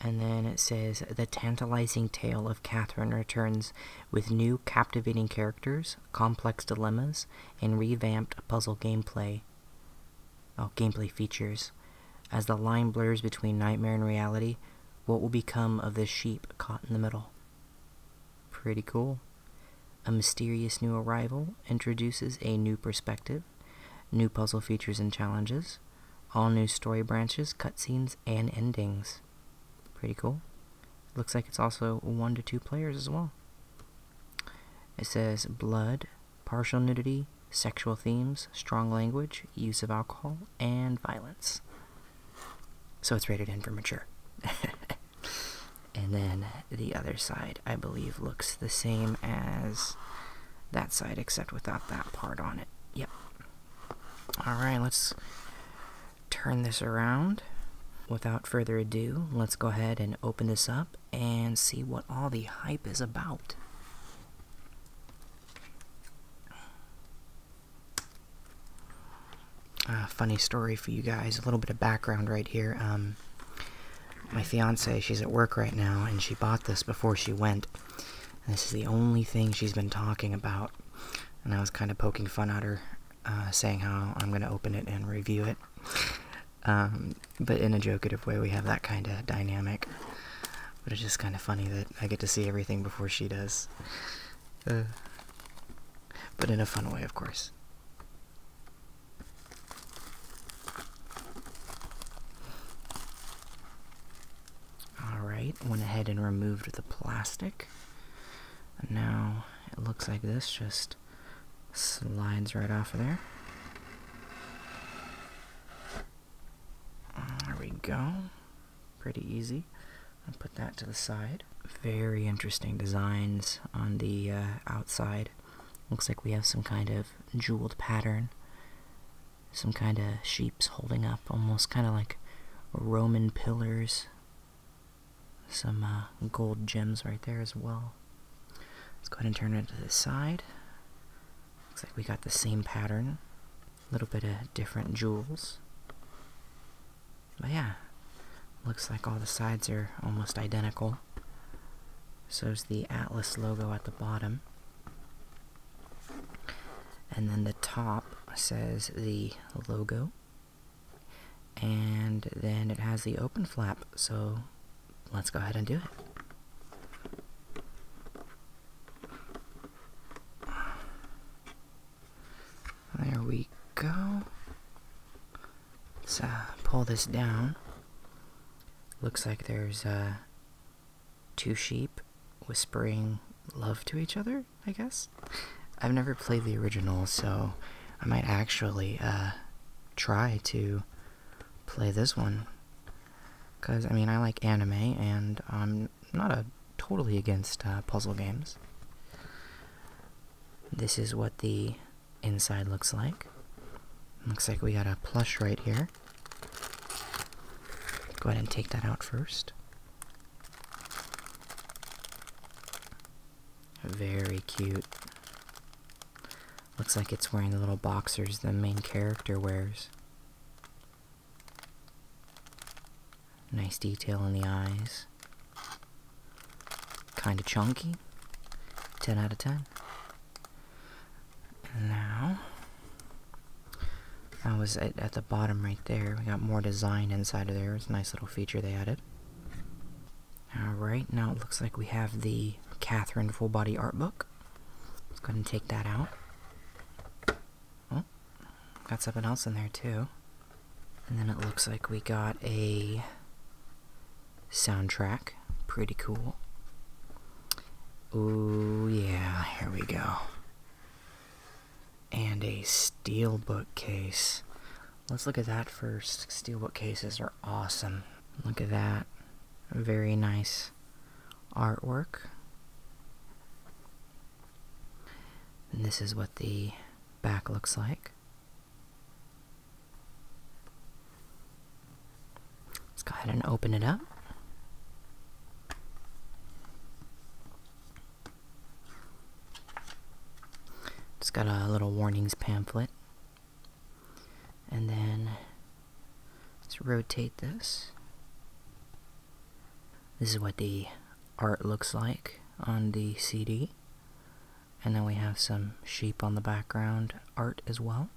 And then it says, The tantalizing tale of Catherine returns with new captivating characters, complex dilemmas, and revamped puzzle gameplay. Oh, gameplay features. As the line blurs between nightmare and reality, what will become of this sheep caught in the middle? Pretty cool. A mysterious new arrival introduces a new perspective, new puzzle features and challenges, all new story branches, cutscenes, and endings. Pretty cool. Looks like it's also one to two players as well. It says blood, partial nudity, sexual themes, strong language, use of alcohol, and violence. So it's rated in for mature. and then the other side, I believe, looks the same as that side, except without that part on it. Yep. Alright, let's turn this around. Without further ado, let's go ahead and open this up and see what all the hype is about funny story for you guys, a little bit of background right here. Um, my fiance, she's at work right now, and she bought this before she went. this is the only thing she's been talking about. And I was kind of poking fun at her, uh, saying how I'm going to open it and review it. Um, but in a jokative way, we have that kind of dynamic. But it's just kind of funny that I get to see everything before she does. Uh, but in a fun way, of course. Alright, went ahead and removed the plastic. now it looks like this just slides right off of there. There we go. Pretty easy put that to the side. Very interesting designs on the uh, outside. Looks like we have some kind of jeweled pattern. Some kind of sheeps holding up, almost kind of like Roman pillars. Some uh, gold gems right there as well. Let's go ahead and turn it to the side. Looks like we got the same pattern. A little bit of different jewels. But yeah, looks like all the sides are almost identical. So's the Atlas logo at the bottom. And then the top says the logo. And then it has the open flap, so let's go ahead and do it. There we go. Let's uh, pull this down. Looks like there's uh, two sheep whispering love to each other, I guess. I've never played the original, so I might actually uh, try to play this one. Because, I mean, I like anime, and I'm not totally against puzzle games. This is what the inside looks like. Looks like we got a plush right here. Go ahead and take that out first. Very cute. Looks like it's wearing the little boxers the main character wears. Nice detail in the eyes. Kind of chunky. 10 out of 10. now, that was at, the bottom right there. We got more design inside of there. It's a nice little feature they added. Alright, now it looks like we have the Catherine full body art book. Let's go ahead and take that out. Oh, got something else in there too. And then it looks like we got a soundtrack. Pretty cool. Ooh, yeah, here we go. And a steel bookcase. Let's look at that first. Steel bookcases are awesome. Look at that. Very nice artwork. And this is what the back looks like. Let's go ahead and open it up. It's got a little warnings pamphlet. And then let's rotate this. This is what the art looks like on the CD. And then we have some sheep on the background art as well.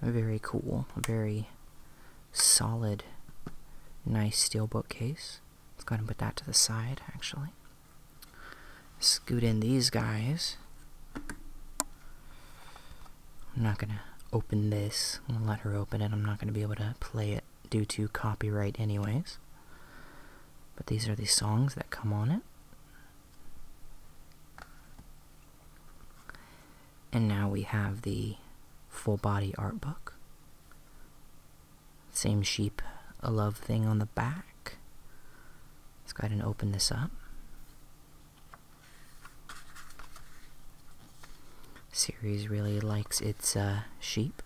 Very cool, very solid, nice steel bookcase. Let's go ahead and put that to the side, actually. Scoot in these guys. I'm not gonna open this. let her open it. I'm not gonna be able to play it due to copyright, anyways. But these are the songs that come on it. And now we have the full body art book. Same sheep, a love thing on the back. Let's go ahead and open this up. Series really likes its uh, sheep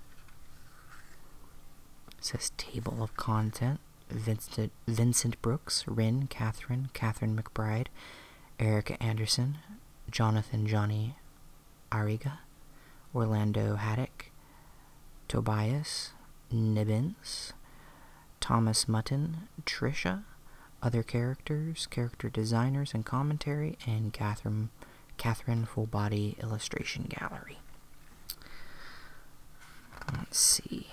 says table of contents. Vincent, Vincent Brooks, Rin, Catherine, Catherine McBride, Erica Anderson, Jonathan Johnny Ariga, Orlando Haddock, Tobias, Nibbins, Thomas Mutton, Trisha, other characters, character designers and commentary, and Catherine Catherine Full Body Illustration Gallery. Let's see.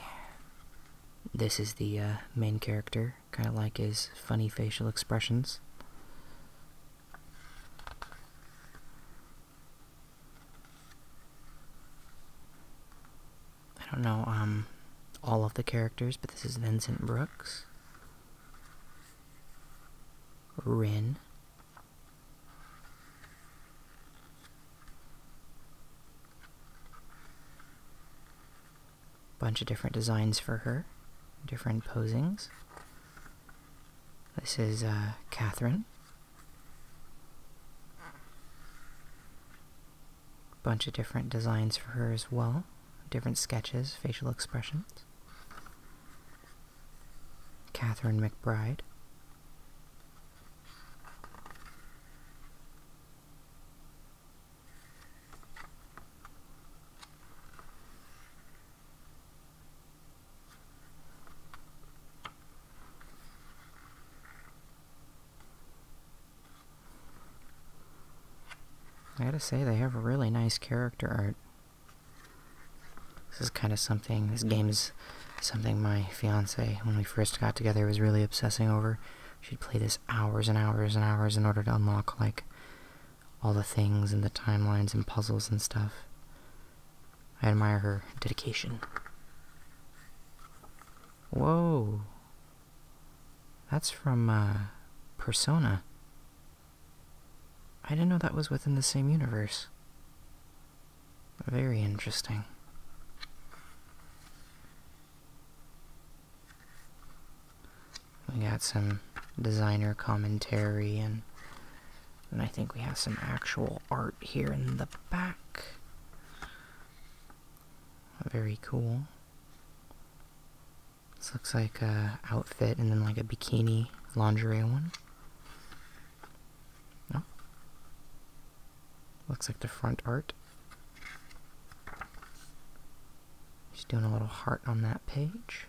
This is the uh, main character, kind of like his funny facial expressions. I don't know um, all of the characters, but this is Vincent Brooks, Rin, Bunch of different designs for her, different posings. This is uh, Catherine. Bunch of different designs for her as well, different sketches, facial expressions. Catherine McBride, I gotta say, they have a really nice character art. This is kind of something, this game is something my fiance, when we first got together, was really obsessing over. She'd play this hours and hours and hours in order to unlock, like, all the things and the timelines and puzzles and stuff. I admire her dedication. Whoa. That's from, uh, Persona. I didn't know that was within the same universe. Very interesting. We got some designer commentary and and I think we have some actual art here in the back. Very cool. This looks like a outfit and then like a bikini lingerie one. No? Looks like the front art. Just doing a little heart on that page.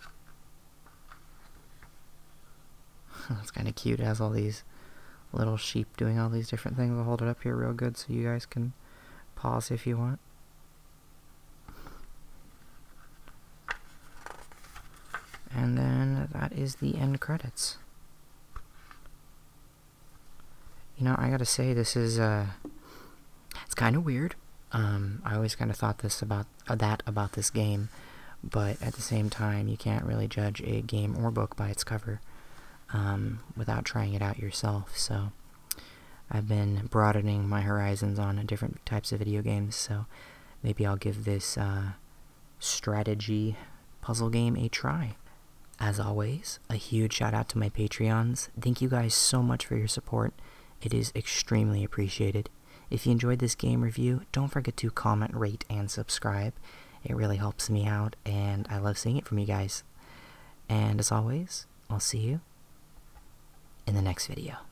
That's kind of cute. It has all these little sheep doing all these different things. I'll hold it up here real good so you guys can pause if you want. And then that is the end credits. You know, I gotta say, this is, uh, it's kind of weird. Um, I always kind of thought this about, uh, that about this game, but at the same time, you can't really judge a game or book by its cover, um, without trying it out yourself, so I've been broadening my horizons on different types of video games, so maybe I'll give this uh, strategy puzzle game a try. As always, a huge shout out to my Patreons. Thank you guys so much for your support. It is extremely appreciated. If you enjoyed this game review, don't forget to comment, rate, and subscribe. It really helps me out, and I love seeing it from you guys. And as always, I'll see you in the next video.